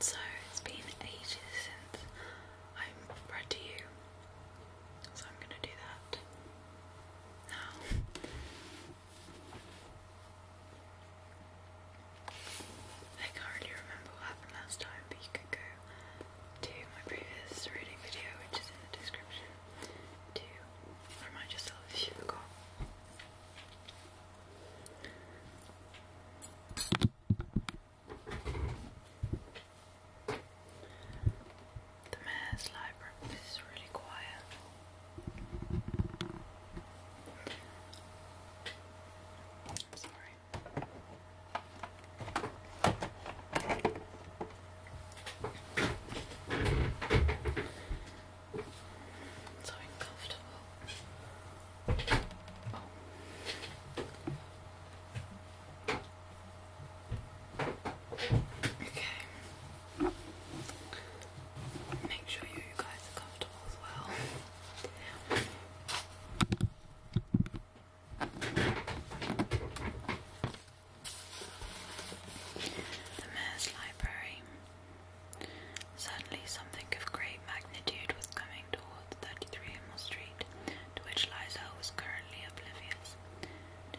So it's been ages since i have read to you, so I'm going to do that now. I can't really remember what happened last time, but you could go to my previous reading video, which is in the description, to remind yourself if you forgot. The mayor's library is really quiet. sorry. So uncomfortable. Okay. Make sure you guys are comfortable as well. The Mayor's Library. Suddenly, something of great magnitude was coming towards 33 Emil Street, to which Liza was currently oblivious.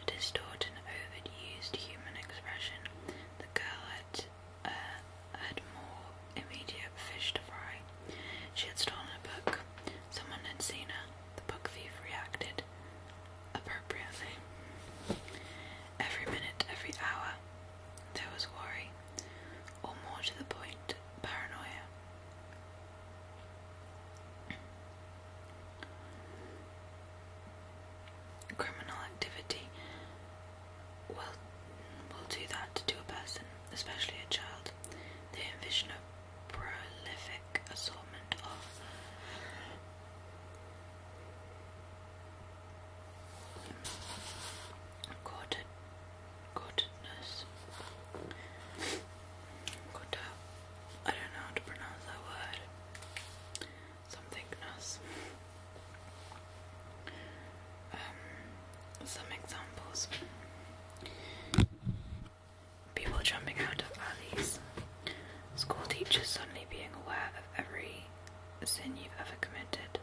To distort an overused human expression, the girl had, uh, had more immediate fish to fry. She had stolen a book. Someone had seen her. The book thief reacted appropriately. Every minute, every hour, there was worry or more to the point, paranoia. Criminal activity will, will do that to a person, especially a child. They envision a prolific assortment of Corded, cordedness. Uh, I don't know how to pronounce that word. Somethingness. Um, some examples. People jumping out of alleys. School teachers suddenly being aware of every sin you've ever committed.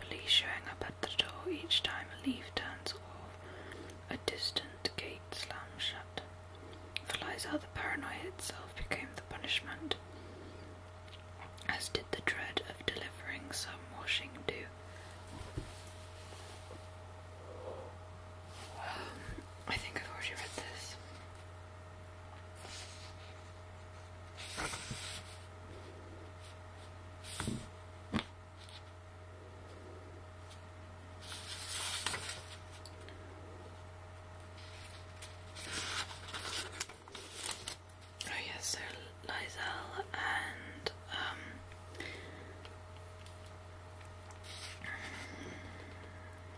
Police showing up at the door each time a leaf turns off, a distant gate slams shut. For Liza, the paranoia itself became the punishment, as did the dread of delivering some washing due. Um, I think I've already read this. Oh yes, so Lysel and um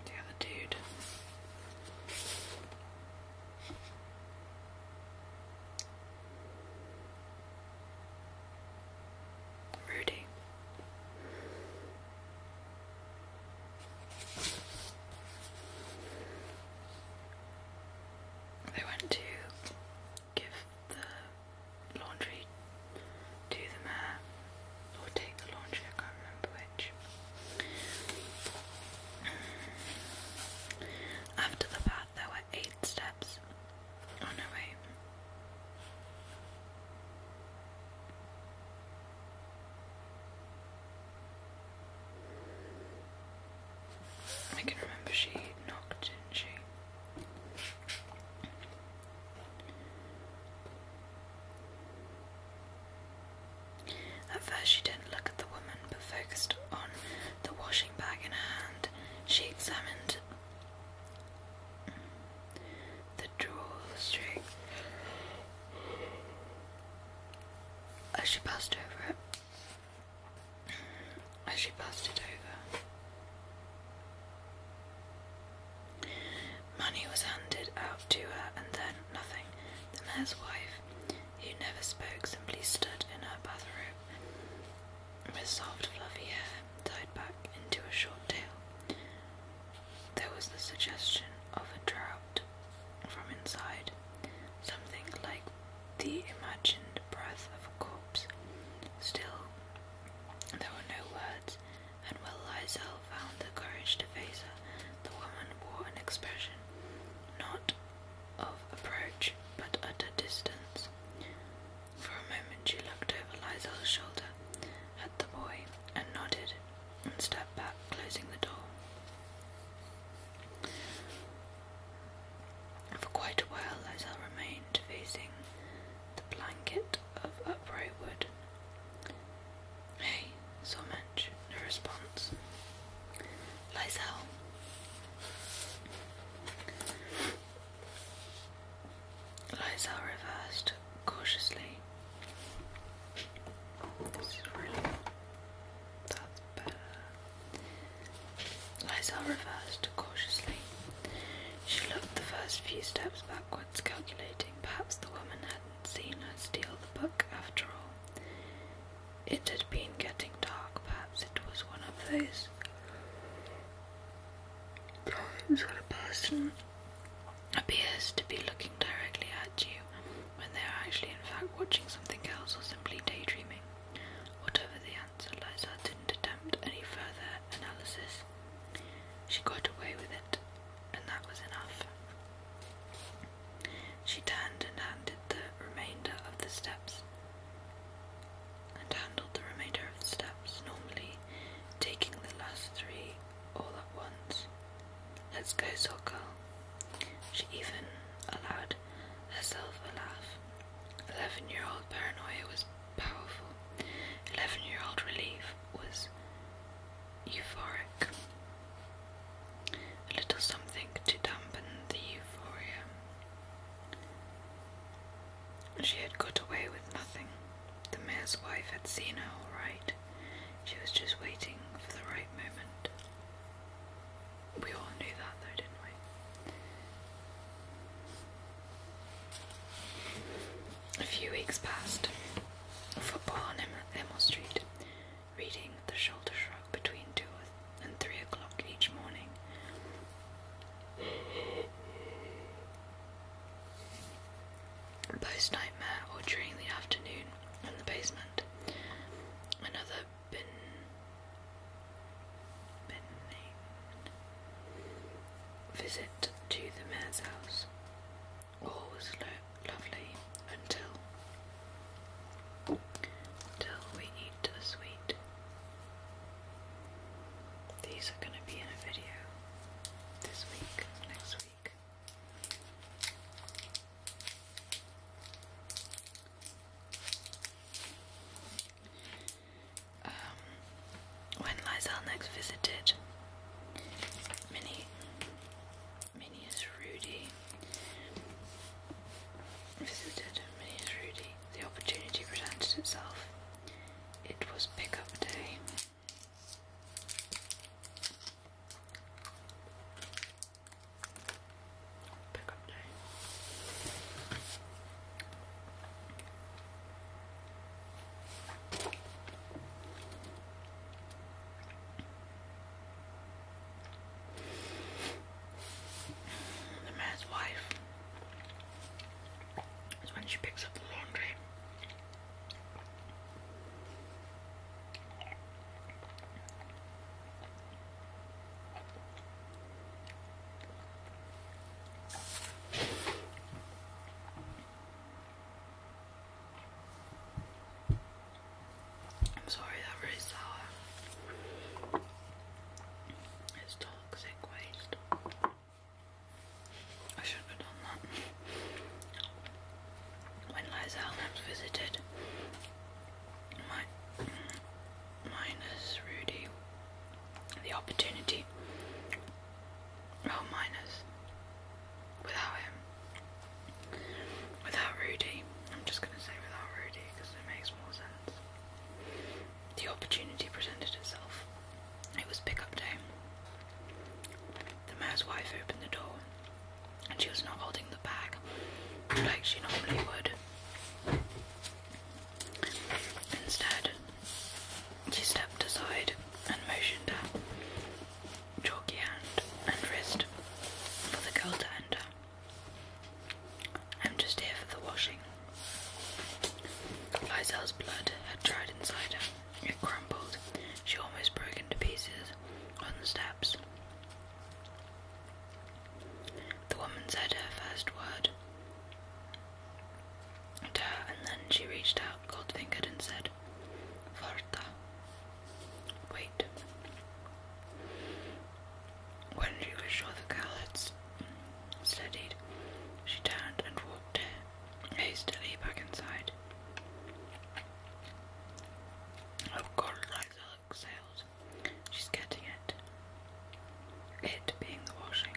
the other dude. Rudy. They went to give the laundry to the mayor, or take the laundry, I can't remember which. After the path, there were eight steps. Oh no, wait. I can remember she knocked, didn't she? At first she didn't look at the woman but focused on the washing bag in her hand. She examined the drawstring as she passed over it. As she passed it over. Money was handed out to her and then nothing. The mayor's wife who never spoke, simply stood in her bathroom, with soft, fluffy hair tied back into a short tail. There was the suggestion of a draught from inside, something like the imagined breath of a corpse. Still, there were no words, and when Lysel found the courage to face her, the woman wore an expression not of approach, but at a distance. For a moment she looked over Liza's shoulder at the boy and nodded and stepped back, closing the door. For quite a while Lysel remained facing the blanket of upright wood. Hey, so much. No response. Lysel. Lysel reversed cautiously. This is really that's better. Lysel reversed cautiously. She looked the first few steps backwards, calculating perhaps the woman hadn't seen her steal the book after all. It had been getting dark, perhaps it was one of those times when a person appears to be looking directly at you when they are actually, in fact, watching something else or simply daydreaming. Whatever the answer, Liza didn't attempt any further analysis. She got away with it, and that was enough. She turned and handed the remainder of the steps and handled the remainder of the steps normally, taking the last three all at once. Let's go, soul She even allowed herself a laugh. Eleven year old paranoia was powerful. Eleven year old relief was euphoric. A little something to dampen the euphoria. She had got away with nothing. The mayor's wife had seen her all right. She was just waiting for the right moment. We all knew that though, didn't we? A few weeks passed. Football on Em Street reading The Shoulder Shrug between 2 and 3 o'clock each morning. Post nightmare or during the afternoon in the basement. Another bin. Benane. Visit to the mayor's house all was lo lovely until until we eat the sweet. These are going to be in a video this week, next week. Um, when Lysel next visited Minnie, Minnie's Rudy. Visited Minnie's Rudy. The opportunity presented itself. It was pickup day. Pickup day. The man's wife is when she picks up the laundry. I'm sorry, that really sour. It's toxic waste. I should have done that. When Lysalnam's visited, minus Rudy the opportunity. Oh, minus. Without him, Without Rudy, I'm just going to say without Rudy because it makes more sense. The opportunity presented itself. It was pickup day. The mayor's wife opened the door, and she was not holding the bag like she normally would. Instead, she stepped aside and motioned her chalky hand and wrist for the girl to enter. I'm just here for the washing. Lyselle's blood had dried inside her. It crumbled. She almost broke into pieces on the steps. The woman said her first word to and then she reached out, cold fingered, and said, Varta. Wait. When she was sure the cow had she turned and walked hastily back inside. Oh God, Liza exhaled. She's getting it. It being the washing.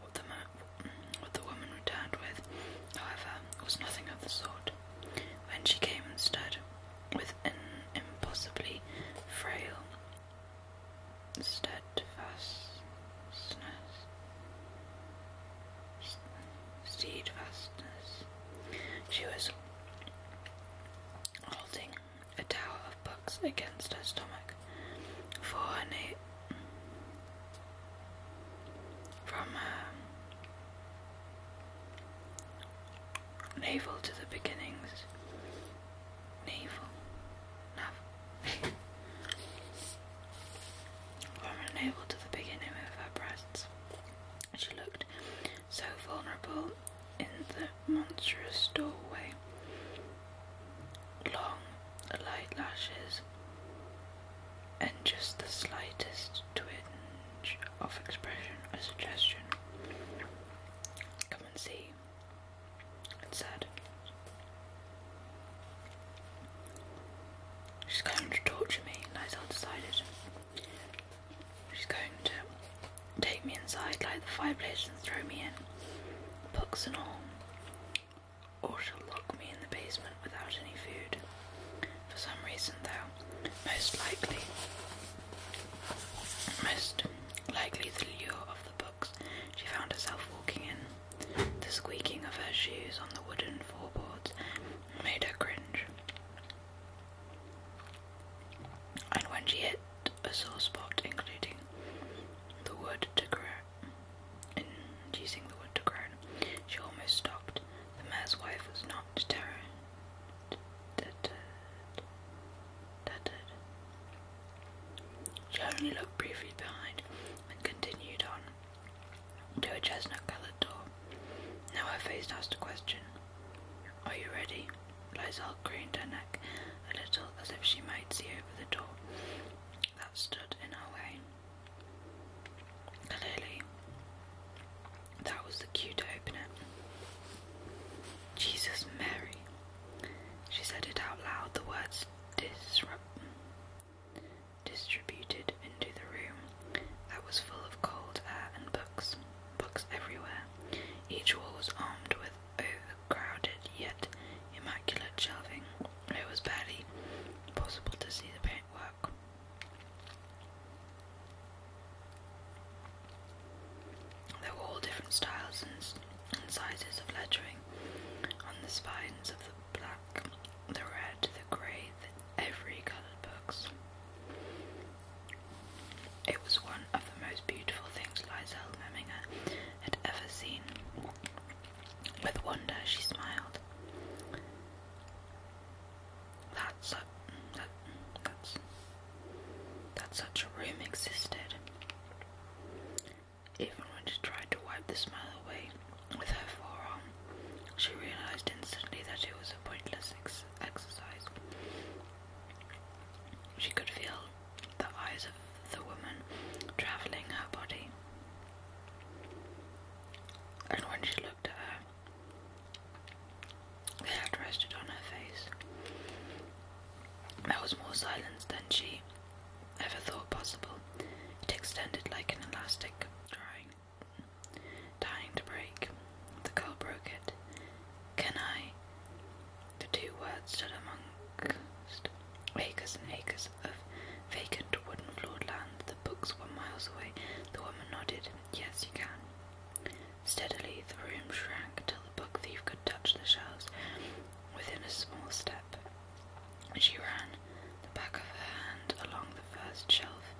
What the, woman returned with, however, was nothing of the sort. When she came and stood with an impossibly frail steadfastness, steadfastness, she was holding a tower of buttocks against her stomach, for her na- from her um, navel to the beginnings. Navel. Nav- from her navel to the beginning of her breasts. She looked so vulnerable in the monstrous doorway long light lashes, and just the slightest twinge of expression or suggestion. Come and see, it said. She's going to torture me, Lysel decided. She's going to take me inside, like the fireplace, and throw me in, books and all or she lock me in the basement without any food. For some reason, though, most likely, most likely the lure of the books, she found herself walking in. The squeaking of her shoes on the wooden floorboards made her cringe. And when she hit a sore spot, including the wood to grow. In using the wood to groan, she almost stopped. The mayor's wife was not deterred. She only looked briefly behind and continued on to a chestnut coloured door. Now her face asked a question. Are you ready? Liza Isabel her neck a little as if she might see over the door that stood in her way. Clearly, that was the cue to open it. Jesus Mary! She said it out loud, the words disrupt distributed into the room that was full of cold air and books, books everywhere. Each wall was armed with overcrowded yet immaculate shelving, it was barely possible to see the paintwork. There were all different styles and, sizes of lettering on the spines of the black, the red, the grey, the every coloured books. It was one of the most beautiful things Liza Memminger had ever seen. With wonder, she smiled. That's a, that, that such a room existed. Even when she tried to wipe the smile away with her forearm, she realized instantly that it was a pointless exercise. She could feel the eyes of the woman travelling her body. And when she looked at her, they had rested on her face. There was more silence than she ever thought possible. It extended like an elastic trying, dying to break. The girl broke it. Can I? The two words stood amongst acres and acres of vacant wooden floored land. The books were miles away. The woman nodded. Yes, you can. Steadily, the room shrank till the book thief could touch the shelves within a small step. She ran the back of her hand along the first shelf,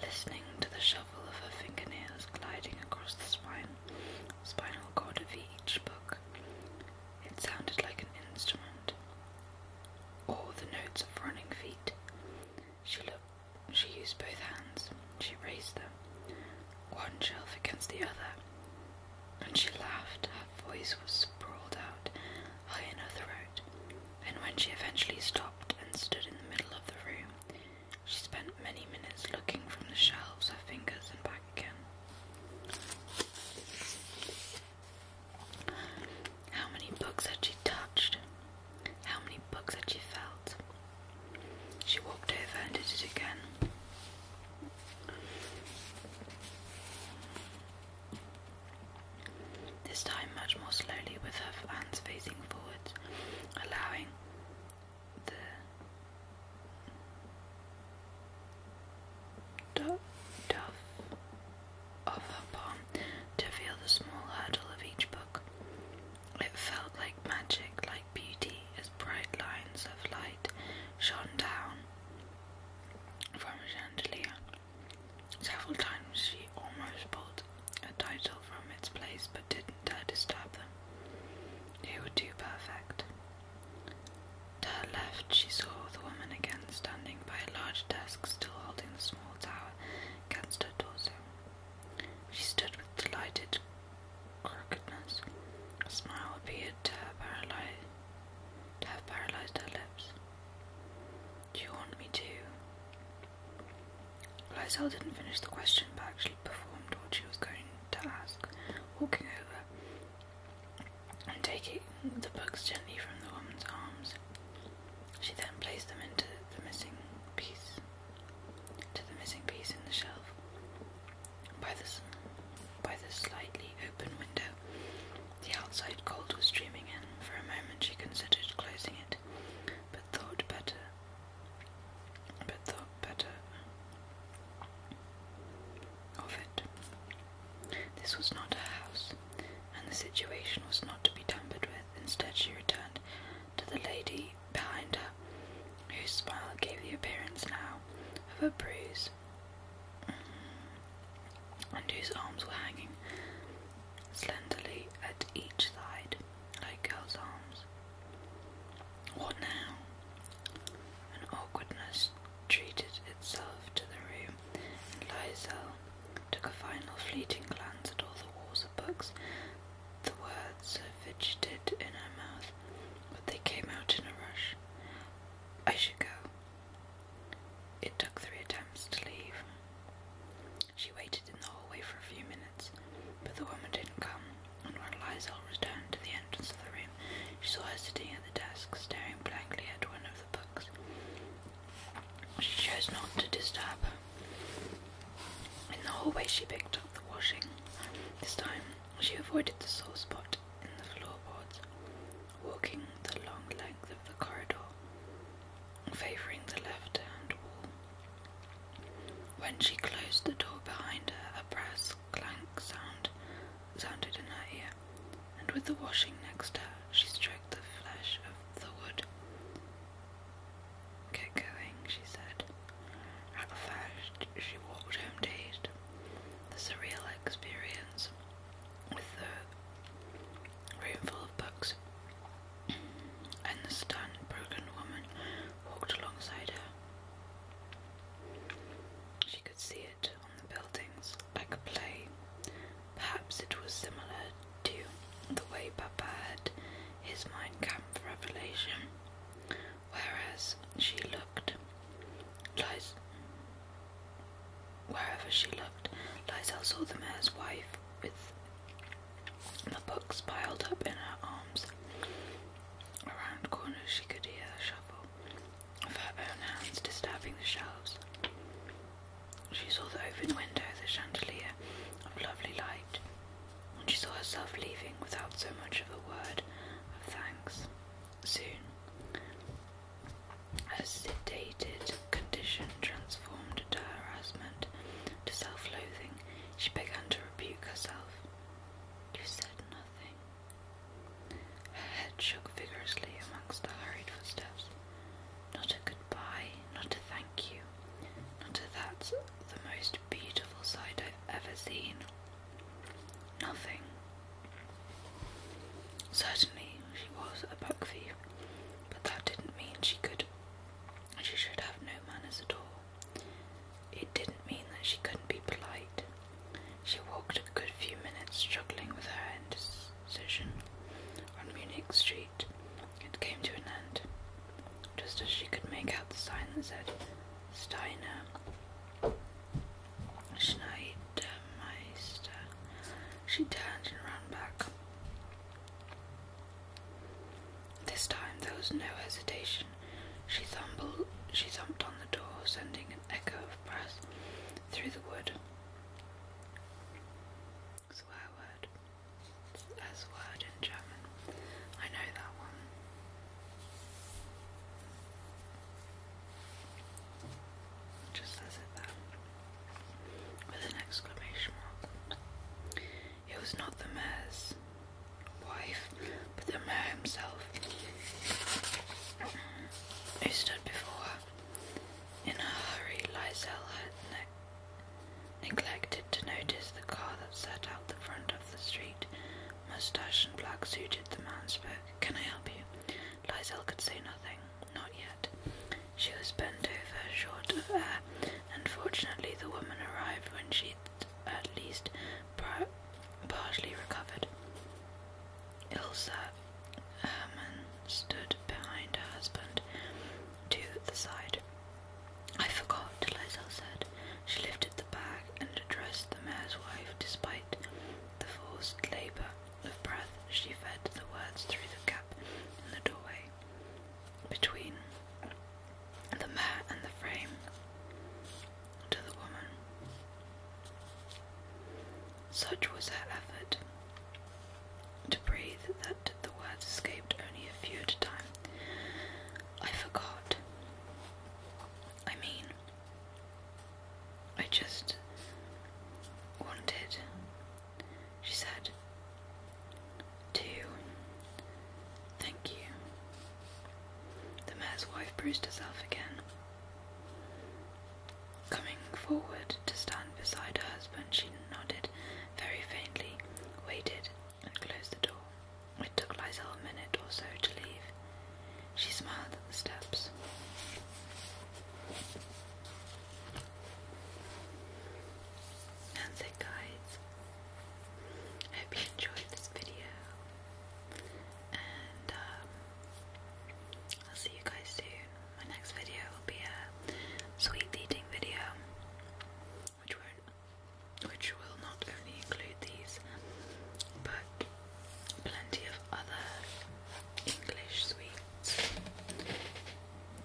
listening to the shuffle of her fingernails gliding across the spine spinal cord of each book. It sounded like an instrument, or the notes of running feet. She looked. She used both hands. She raised them, one shelf against the other. and she laughed, her voice was sprawled out high in her throat. And when she eventually stopped and stood in the middle of the room, she spent many minutes looking from the shelves, her fingers, and back again. How many books had she touched? How many books had she felt? She walked over and did it again. This time much more slowly, with her hands facing forwards, allowing the duff of her palm to feel the small hurdle of each book. It felt like magic, like beauty, as bright lines of light shone down from a chandelier. Several times she almost pulled a title from its place, but did not dare disturb them. It would do perfect. To her left, she saw the woman again standing by a large desk, still holding the small tower against her torso. She stood with delighted crookedness. A smile appeared to to have paralyzed her lips. Do you want me to? Lysel didn't finish the question, but actually performed what she was going task, walking over and taking the books gently from the woman's arms. She then placed them into the missing piece, to the missing piece in the shelf. By the, by the slightly open window, the outside cold was streaming in. For a moment she considered closing it, but thought better but thought better of it. This was not her house, and the situation was not to be tampered with. Instead, she returned to the lady behind her, whose smile gave the appearance now of a bruise, mm, and whose arms were hanging slenderly at each side, like girls' arms. What now? An awkwardness treated itself to the room, and took a final fleeting glance at all the walls of books. The words fidgeted in her mouth, but they came out in a rush. I should go. It took three attempts to leave. She waited in the hallway for a few minutes, but the woman didn't come, and when Lysol returned to the entrance of the room, she saw her sitting at the desk, staring blankly at one of the books. She chose not to disturb her. In the hallway, she picked up the washing. This time, she avoided the sore spot in the floorboards, walking the long length of the corridor, favouring the left hand wall. When she closed the door behind her, a brass clank sound sounded in her ear, and with the washing next her, she stroked the flesh of the wood. Get going, she said. At first, she walked home dazed. The surreal experience with the room full of books and the stunned, broken woman walked alongside her. She could see it on the buildings like a plane. Perhaps it was similar to the way Papa had his mind for revelation, whereas she looked, wherever she looked, Lysel saw the mayor's wife with the books piled up in her arms. Around corners she could hear the shuffle of her own hands disturbing the shelves. She saw the open window, the chandelier of lovely light, and she saw herself leaving without so much of a word of thanks. Soon, as sedated condition transformed into harassment, to self loathing. She began to rebuke herself yourself. You said nothing. Her head shook vigorously amongst the hurried footsteps. Not a goodbye, not a thank you, not a that's the most beautiful sight I've ever seen. Nothing. Certainly she was a buck thief, but that didn't mean she could she should have no manners at all. It didn't mean that she couldn't be polite. She walked a good few minutes, struggling with her indecision on Munich Street. It came to an end, just as she could make out the sign that said Steiner Schneidermeister. She turned and ran back. This time there was no hesitation. She, thumped on the door, sending an echo of breath through the wood. Swear word. As word in German. I know that one. just says it there. With an exclamation mark. It was not the mayor's wife, but the mayor himself who stood before her. In a hurry, Lysel had neglected to notice the car that sat out the front of the street. Mustache and black suited the man spoke. Can I help you? Lysel could say nothing. Not yet. She was bent over, short of air, Unfortunately, the woman arrived when she at least partially recovered. Ilse Herman stood behind her husband to the side. I forgot, Lysel said. She lifted the bag and addressed the mayor's wife despite the forced labour of breath. She fed the words through the gap in the doorway between the mat and the frame to the woman. Such was her effort to breathe that the words escaped only a few at a time. I forgot. I mean, I just wanted she said, To Thank you. The mayor's wife braced herself again. Coming forward to stand beside her husband, she nodded very faintly, waited, and closed the door. It took Lysel a minute or so to leave. She smiled at the steps. And the guides I hope you enjoyed this video, and um, I'll see you guys soon. My next video will be a sweet eating video, which will, which will not only include these, but plenty of other English sweets.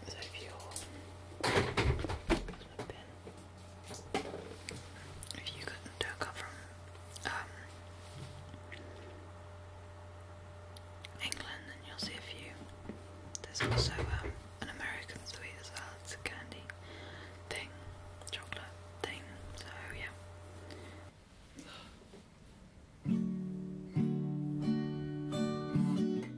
So if you're if you couldn't come from um, England, then you'll see a few. There's also um, an American sweet as well. It's a candy thing, chocolate thing. So yeah.